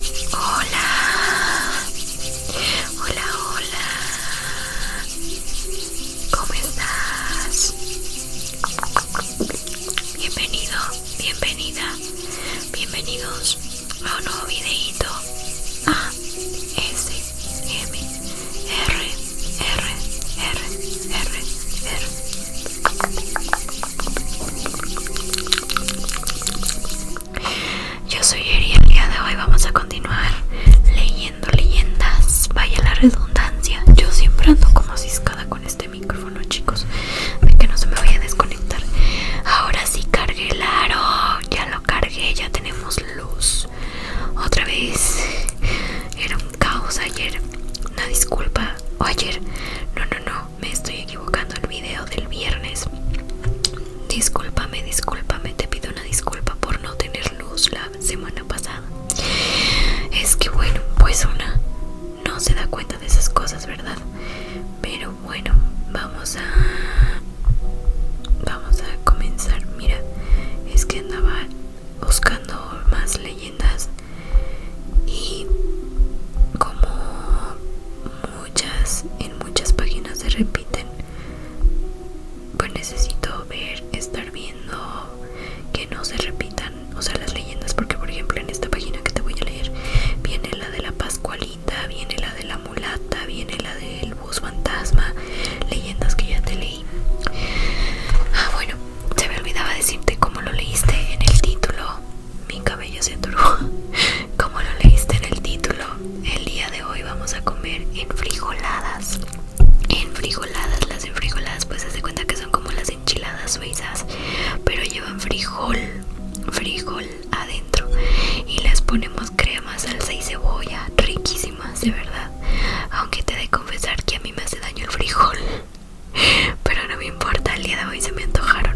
Hola, hola, hola. ¿Cómo estás? Bienvenido, bienvenida, bienvenidos a un nuevo videito. A S M R R. Yo soy Eri el día de hoy vamos a continuar leyendo leyendas. Vaya la redundancia. Yo siempre ando como ciscada con este micrófono, chicos. De que no se me vaya a desconectar. Ahora sí cargué el aro. Ya lo cargué, ya tenemos luz. Otra vez. Era un caos ayer. Una disculpa. O ayer. No, no, no me estoy equivocando el video del viernes. Discúlpame, discúlpame, te pido una disculpa por no tener luz la semana pasada. Es que bueno, pues una no se da cuenta de esas cosas, ¿verdad? Pero bueno, vamos a vamos a comenzar. Mira, es que andaba buscando más leyendas y como muchas en muchas páginas se repiten pues necesito ver estar viendo que no se repitan o sea las leyendas porque por ejemplo en esta página que te voy a leer viene la de la pascualita viene la de la mulata viene la del bus fantasma leyendas que ya te leí ah bueno se me olvidaba decirte cómo lo leíste en el título mi cabello se turbó. Como lo leíste en el título, el día de hoy vamos a comer enfrijoladas. Enfrijoladas, las enfrijoladas, pues se cuenta que son como las enchiladas suizas, pero llevan frijol, frijol adentro. Y las ponemos crema, salsa y cebolla, riquísimas, de verdad. Aunque te de confesar que a mí me hace daño el frijol. Pero no me importa, el día de hoy se me antojaron.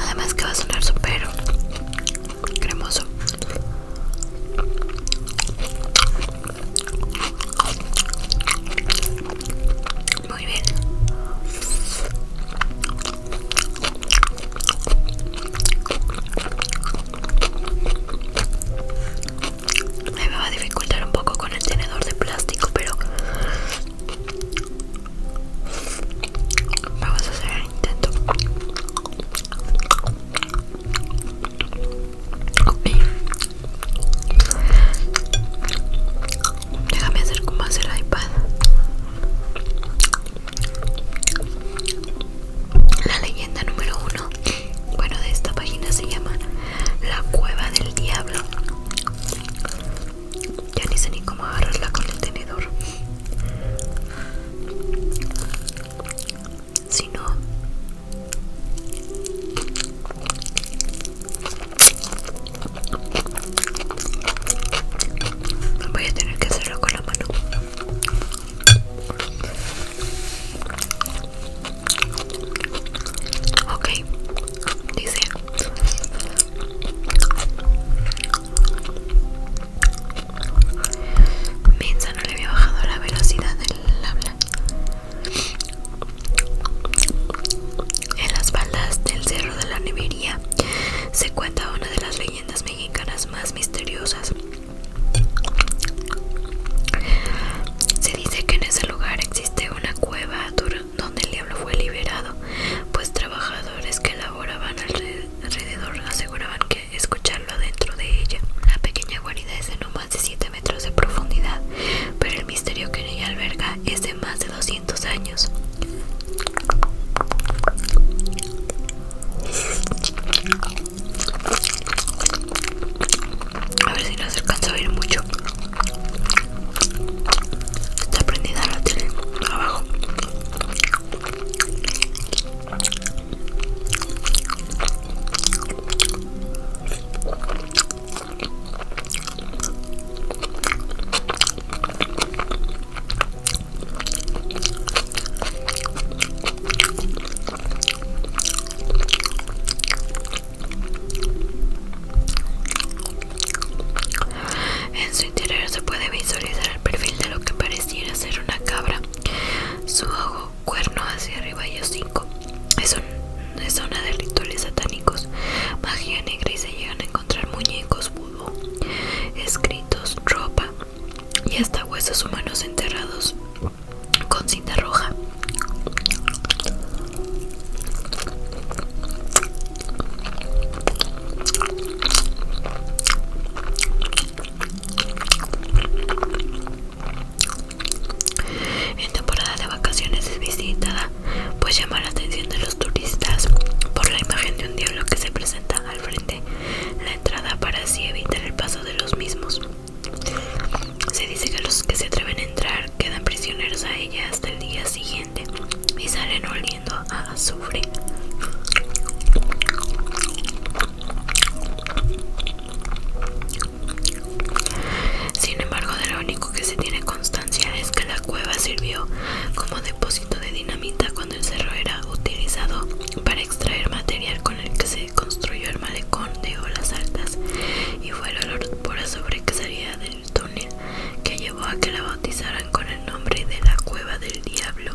Además que va a sonar super cremoso. Muy bien. Me va a dificultar un poco con el tenedor de plástico, pero vamos a hacer el intento. Déjame hacer como hacer el iPad. La leyenda número uno, bueno, de esta página se llama La Cueva del Diablo. Ya ni sé ni cómo agarrarla con el tenedor. Si no, Voy a tener que hacerlo con la mano. Ok, dice. Mensa no le había bajado la velocidad del habla. En las faldas del Cerro de la Nevería se cuenta una de las leyendas mexicanas más misteriosas. Se dice que en ese lugar existe una cueva donde el diablo fue liberado, pues trabajadores que laboraban alrededor aseguraban que escucharlo adentro de ella. La pequeña guarida es de no más de 7 metros de profundidad, pero el misterio que en ella alberga es de más de 200 años. A ver si no se alcanza a oír mucho. Está prendida la tele abajo. En su interior se puede visualizar el perfil de lo que pareciera ser una cabra, su ojo, cuerno hacia arriba y cinco es, una zona de rituales satánicos, magia negra y se llegan a encontrar muñecos, vudú, escritos, ropa y hasta huesos humanos enterrados con cinta roja. En temporada de vacaciones es visitada, pues llama la atención de los turistas por la imagen de un diablo que se presenta al frente la entrada para así evitar el paso de los mismos. Se dice que los que se atreven a entrar quedan prisioneros a ella hasta el día siguiente y salen oliendo a azufre. Sin embargo, de lo único que se tiene constancia es que la cueva sirvió como depósito de dinamita cuando el cerro era utilizado para extraer material con el que se construyó el malecón de olas altas y fue el olor pura sobre que del túnel que llevó a que la bautizaran con el nombre de la cueva del diablo.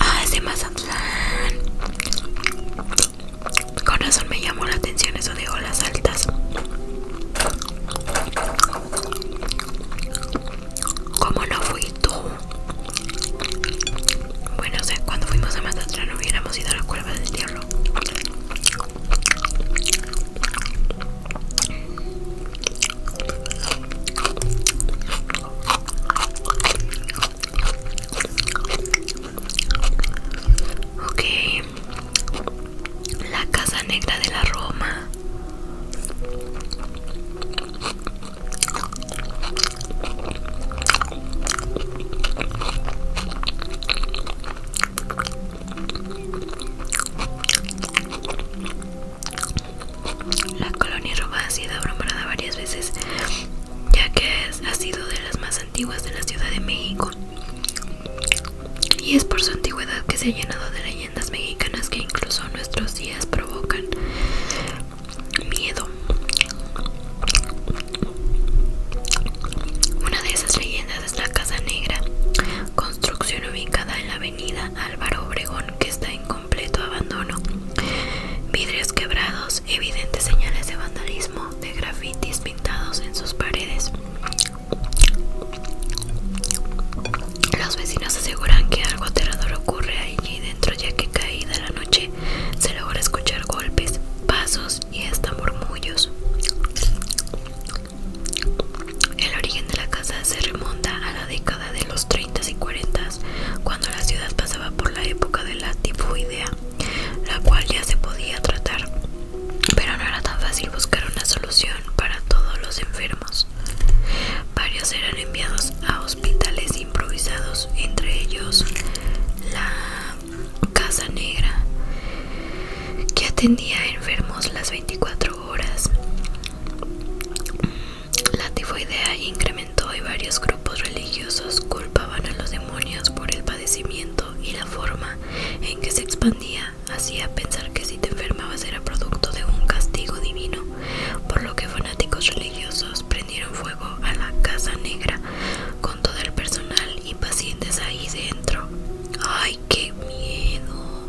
Ah, es de Mazatlán. Con razón me llamó la atención eso de olas altas. ¿Cómo no fui tú. Bueno, sé cuando fuimos a Mazatlán hubiéramos ido a la cueva del tierro. Okay, la casa negra de la Roma. La colonia Roma ha sido abrumada varias veces, ya que ha sido de las más antiguas de la Ciudad de México. Y es por su antigüedad que se ha llenado de leyendas mexicanas que incluso nuestros días provocan miedo una de esas leyendas es la Casa Negra, construcción ubicada en la avenida Álvaro Obregón que está en completo abandono. Vidrios quebrados, evidentes señales de vandalismo, de grafitis pintados en sus paredes. Los vecinos aseguran que algo aterrador ocurre allí dentro ya que caída la noche se logra escuchar golpes, pasos y hasta murmullos. El origen de la casa se remonta a la década de los 30 y 40, cuando la ciudad pasaba por la época de la tifoidea, la cual ya se podía tratar, pero no era tan fácil buscar una solución para todos los enfermos. Varios eran enviados a hospitales improvisados, entre ellos la Casa Negra, que atendía enfermos las 24 horas. Mm, la tifoidea incrementó y varios grupos religiosos culpaban a los demonios por el padecimiento y la forma en que se expandía hacía pensar que si te enfermabas era producto de un castigo divino, por lo que fanáticos religiosos Dieron fuego a la Casa Negra con todo el personal y pacientes ahí dentro. ¡Ay, qué miedo!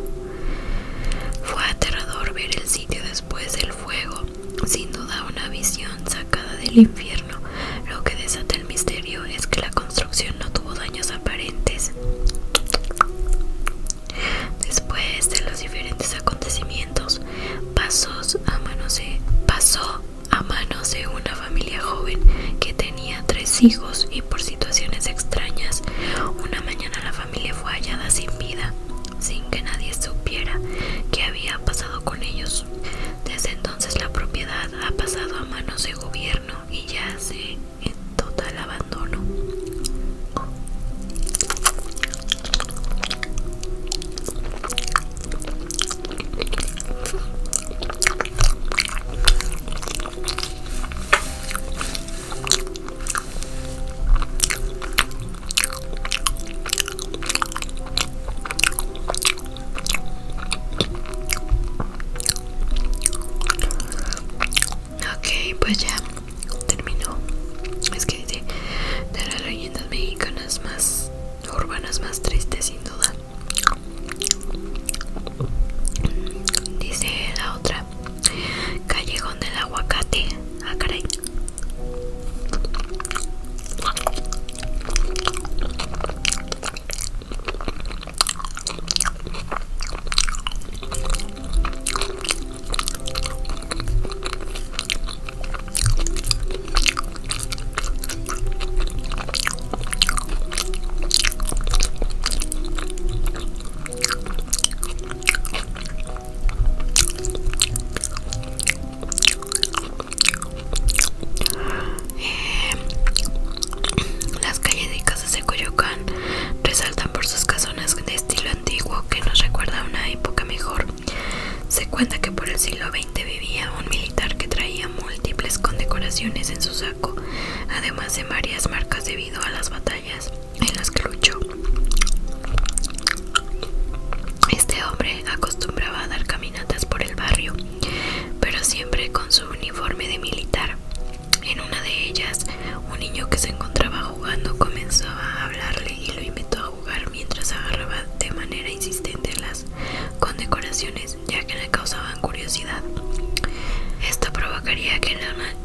Fue aterrador ver el sitio después del fuego, sin duda una visión sacada del infierno. Lo que desata el misterio es que la construcción no tuvo daños aparentes. Después de los diferentes acontecimientos, pasos a manos pasó a manos de una familia joven que tenía tres hijos y por situaciones extrañas una mañana la familia fue hallada sin vida, sin que nadie supiera qué había pasado con ellos. Desde entonces la propiedad ha pasado a manos de gobierno y ya se en total abandono. Ok, pues ya terminó. Es que dice de las leyendas mexicanas más urbanas más tristes sin duda dice la otra callejón del aguacate ah eh, las calles de Coyoacán resaltan por sus casonas de estilo antiguo que nos recuerda a una época mejor se cuenta que por el siglo XX vivía un militar que traía múltiples condecoraciones en su saco, además de varias marcas debido a las batallas en las que luchó. Este hombre acostumbraba a dar caminatas por el barrio, pero siempre con su uniforme de militar. En una de ellas, un niño que se encontraba jugando comenzó a hablarle y lo invitó mientras agarraba de manera insistente las condecoraciones, ya que le causaban curiosidad. Esto provocaría que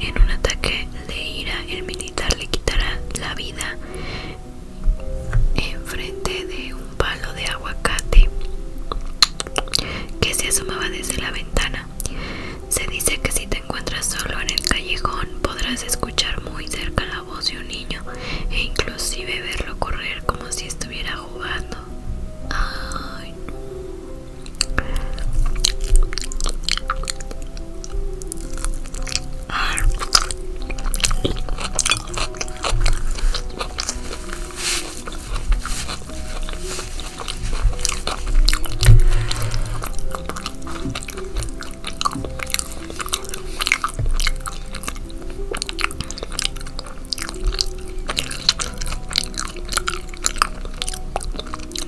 en un ataque de ira el militar le quitara la vida enfrente de un palo de aguacate que se asomaba desde la ventana. Se dice que si te encuentras solo en el callejón podrás escuchar muy cerca voz de un niño e inclusive verlo correr como si estuviera jugando.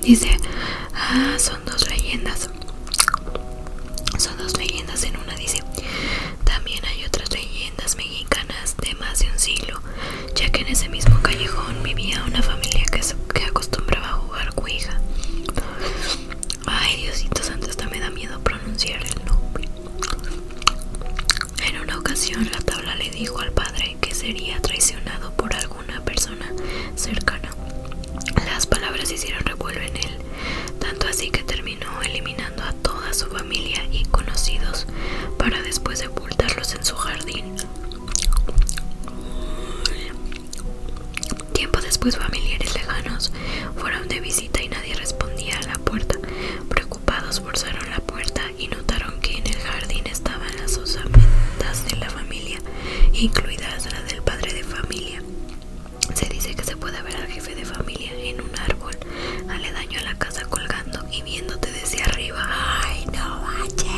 Dice, ah, son dos leyendas. Son dos leyendas en una, dice. También hay otras leyendas mexicanas de más de un siglo, ya que en ese mismo callejón vivía una familia que, que acostumbraba a jugar cuija. Ay, Diosito Santo, hasta me da miedo pronunciar el nombre. En una ocasión la tabla le dijo al padre que sería traicionado por alguna persona cercana. Las palabras hicieron revuelo en él, tanto así que terminó eliminando a toda su familia y conocidos para después sepultarlos en su jardín. Tiempo después familiares lejanos fueron de visita y nadie respondía a la puerta. Preocupados forzaron la puerta y notaron que en el jardín estaban las osamentas de la familia, incluidas las del padre de familia. Se dice que se puede ver al jefe de familia en un árbol aledaño a la casa colgando y viéndote desde arriba. ¡Ay, no manches!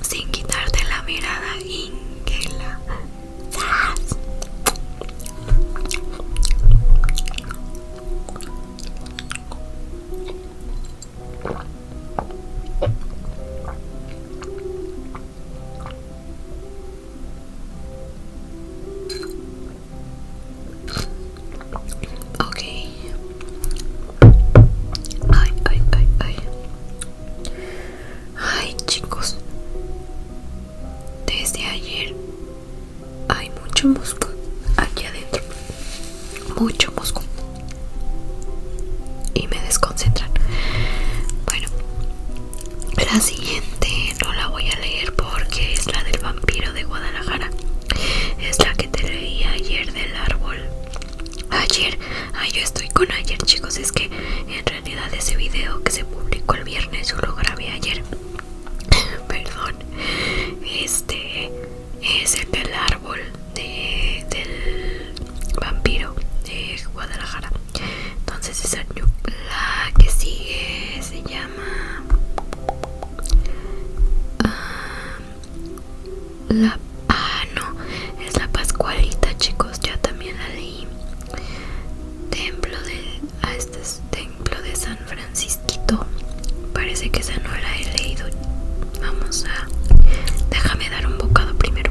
sin quitarte la mirada Ingela. la Ok. Ay, ay, ay, ay. Ay chicos, desde ayer hay mucho musgo aquí adentro, mucho musgo y me desconcentran. Bueno, la siguiente no la voy a leer porque es la del vampiro de Guadalajara. Es la que te leí ayer del árbol. Ayer Ay, ah, yo estoy con ayer, chicos. Es que en realidad ese video que se publicó el viernes yo lo grabé ayer. Perdón. Este es el del árbol de, del vampiro de Guadalajara. Entonces esa la que sigue se llama. Ah, la... Ah, no, es la Pascualita, chicos, ya también la leí. Templo de... este Templo de San Francisquito. Parece que esa no la he leído. Vamos a... Déjame dar un bocado primero.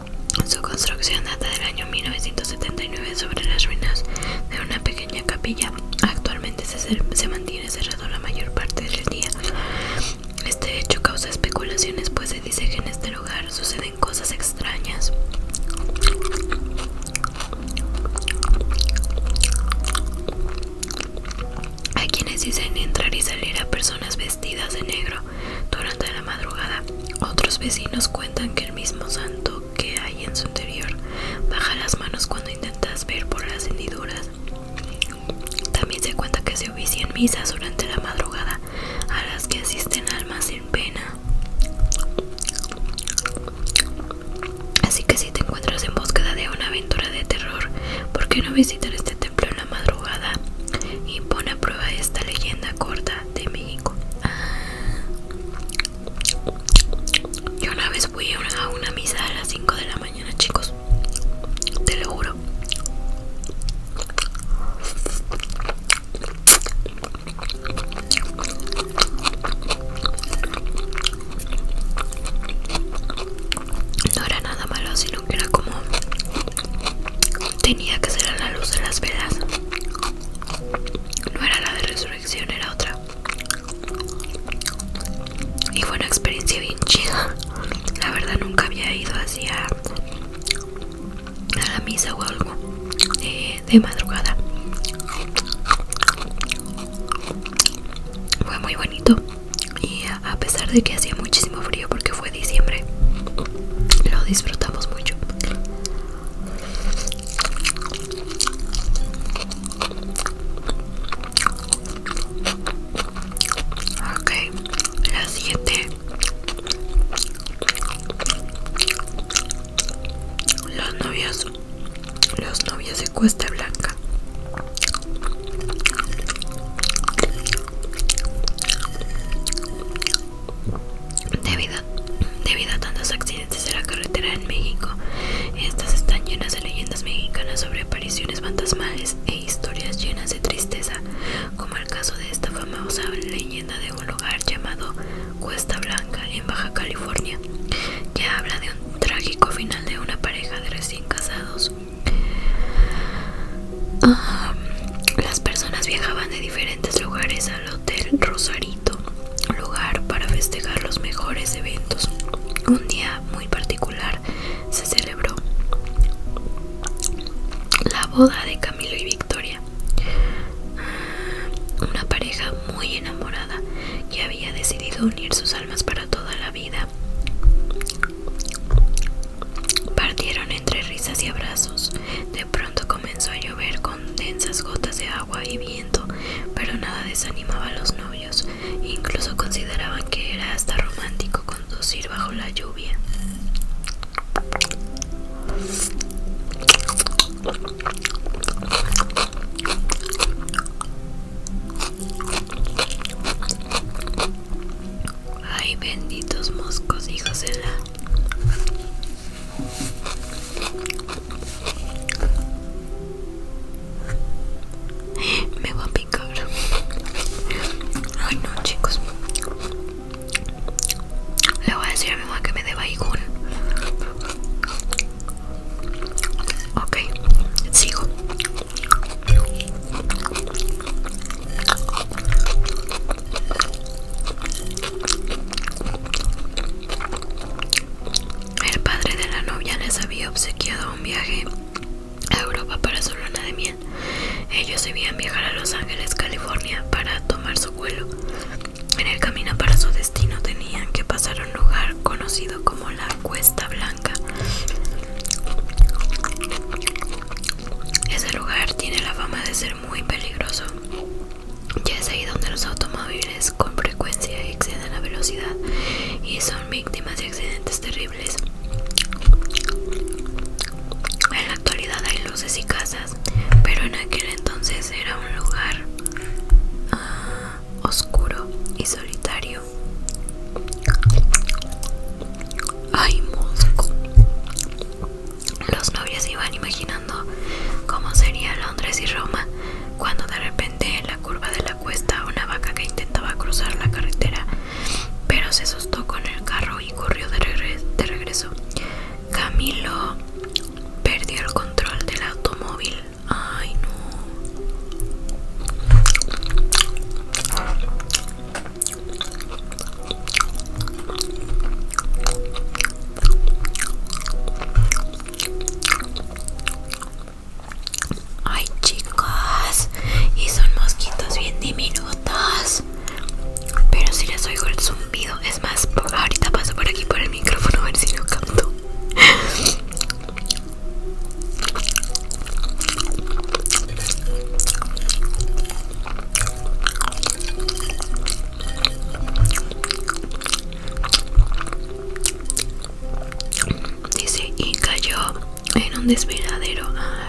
Su construcción data del año 1979 sobre las ruinas de una pequeña capilla. Actualmente se, mantiene cerrado la mayor parte del día. Este hecho causa especulaciones, pues se dice que en este lugar suceden cosas extrañas. Hay quienes dicen entrar y salir a personas vestidas de negro durante la madrugada, otros vecinos cuentan que el mismo santo que hay en su interior baja las manos cuando intentas ver por las hendiduras. También se cuenta que se ofician misas durante la madrugada a las que asisten almas en pena. Así que si te encuentras en búsqueda de una aventura de terror, ¿por qué no visitar este en la madrugada y pone a prueba esta leyenda corta de México. Yo una vez fui a una misa a las 5 de la mañana, chicos. Te lo juro. No era nada malo, no era como tenía que ser la luz de las velas. No era la de resurrección, era otra. Y fue una experiencia bien chida. La verdad nunca había ido hacia a la misa o algo de, eh, de madrugada. Fue muy bonito y a pesar de que hacía muchísimo frío porque fue diciembre. Lo disfrutamos mucho. Ok, las siete Los novias Los novias de Cuesta Blanca Debido, a tantos accidentes de la carretera en México, estas están llenas de leyendas mexicanas sobre apariciones fantasmales e historias llenas de tristeza, como el caso de esta famosa leyenda de un lugar llamado Cuesta Blanca en Baja California, que habla de un trágico final de una pareja de recién casados Ah, las personas viajaban de diferentes lugares al Hotel Rosarito, lugar para festejar los mejores eventos. Un día muy particular se celebró la boda de Camilo y Victoria, ah, una pareja muy enamorada que había decidido unir sus almas para toda la vida. Partieron entre risas y abrazos. De pronto comenzó a llover con densas gotas de agua y viento, pero nada desanimaba a los novios. Incluso consideraban que era hasta romántico conducir bajo la lluvia. Ay, benditos moscos, hijos de la. Me va a picar. Ay, no, chicos. Le voy a decir a mi mamá que me dé baigún. Ok, sigo. El padre de la novia les había obsequiado un viaje a Europa para su luna de miel. Ellos debían viajar a Los Ángeles, California, para tomar su vuelo. En el camino para su destino tenían que pasar a un lugar conocido como la Cuesta Blanca. Ese lugar tiene la fama de ser muy peligroso, ya es ahí donde los automóviles con frecuencia exceden la velocidad y son víctimas de accidentes terribles. En la actualidad hay luces y casas, pero en aquel entonces era un lugar ah, oscuro y solitario Ay, mosco. Los novios iban imaginando cómo sería Londres y Roma cuando de repente en la curva de la cuesta una vaca que intentaba cruzar la carretera pero se asustó con el carro y corrió de, de regreso. Camilo perdió el control del automóvil. Ay no. Ay chicos, y son mosquitos bien diminutos. Pero si les oigo el zumbido, es más, ahorita paso por aquí por el micrófono a ver si lo canto. Dice, y cayó en un desveladero ah,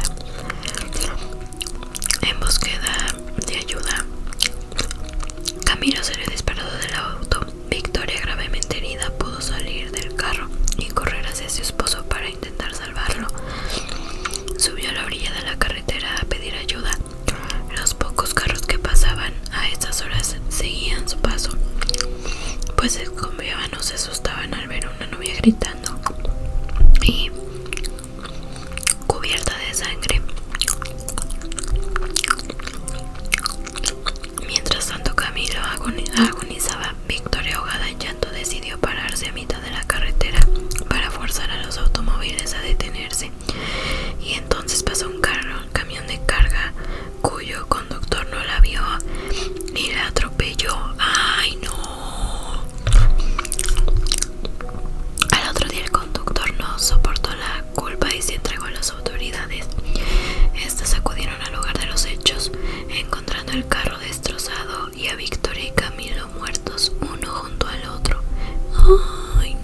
en búsqueda de ayuda. Camilo se le disparó del auto. Victoria, gravemente herida, pudo salir del carro y correr hacia su esposo para intentar salvarlo. Subió a la orilla de la carretera a pedir ayuda. Los pocos carros que pasaban a estas horas seguían su paso, pues se escondían o se asustaban al ver una novia gritando y cubierta de sangre. Mientras tanto Camilo agonizaba, Victoria ahogada ya decidió pararse a mitad de la carretera para forzar a los automóviles a detenerse. Y entonces pasó un carro, un camión de carga, cuyo conductor no la vio y la atropelló. ¡Ay, no! Al otro día el conductor no soportó la culpa y se entregó a las autoridades. Estas acudieron al lugar de los hechos, encontrando el carro destrozado y a Victoria y Camilo muertos uno junto al otro. Ay,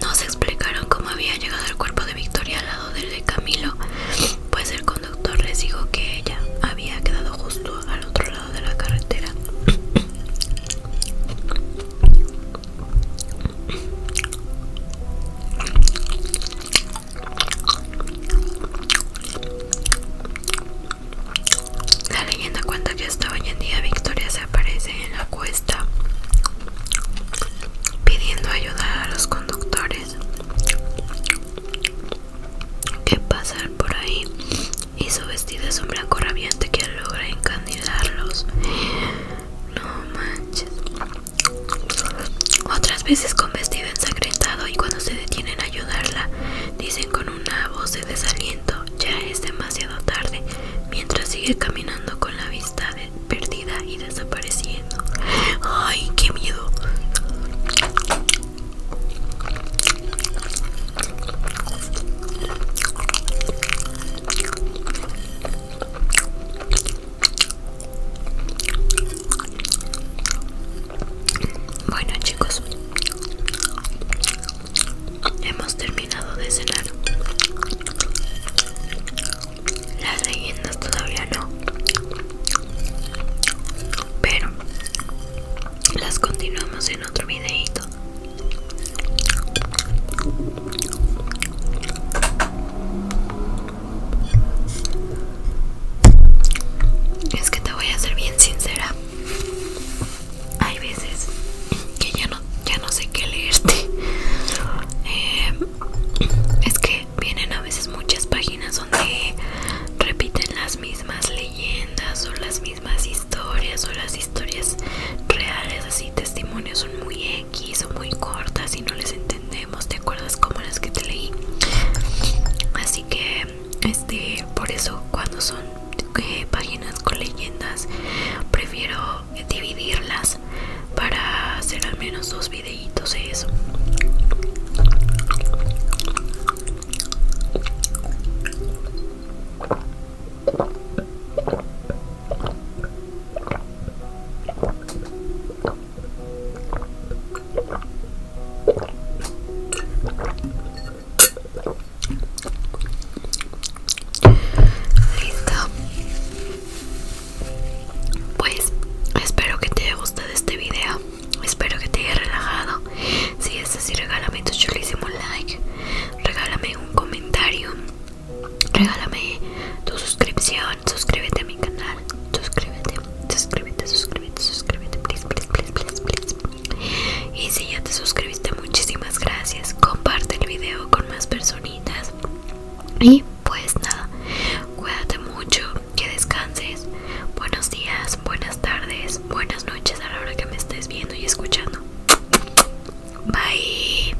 no. se explicaron cómo había llegado el cuerpo de Victoria al lado del de Camilo, pues el conductor les dijo que ella había quedado justo al otro lado de la carretera. La leyenda cuenta que hasta hoy en día Victoria se aparece en la cuesta pidiendo ayuda a los conductores que pasan por ahí y su vestido es un blanco rabiante que logra encandilarlos. No manches. Otras veces con vestido ensangrentado y cuando se detienen a ayudarla, dicen con una voz de desaliento, ya es demasiado tarde, mientras sigue caminando con la vista perdida y desapareciendo. ¡Ay, qué miedo! Bueno chicos, hemos terminado de cenar. Las leyendas todavía no, pero las continuamos en otro videito. Es que te voy a ser bien sincera. Hay veces que ya no, ya no sé qué leerte. Eh, es que vienen a veces muchas páginas donde repiten las mismas leyendas o las mismas historias o las historias reales, así testimonios son muy aquí son muy cortas y no les entendemos, ¿te acuerdas como las que te leí? Así que, este, por eso cuando son eh, páginas con leyendas, prefiero dividirlas para hacer al menos dos videitos de eso. Listo. Pues espero que te haya gustado este video. Espero que te haya relajado. Si es así, regálame tu chulísimo like. Regálame un comentario regálame tu suscripción, suscríbete a mi canal, suscríbete, suscríbete, suscríbete, suscríbete, please, please, please, Y si ya te suscribiste, muchísimas gracias. Comparte el video con más personitas. Y pues nada, cuídate mucho, que descanses. Buenos días, buenas tardes, buenas noches a la hora que me estés viendo y escuchando. Bye.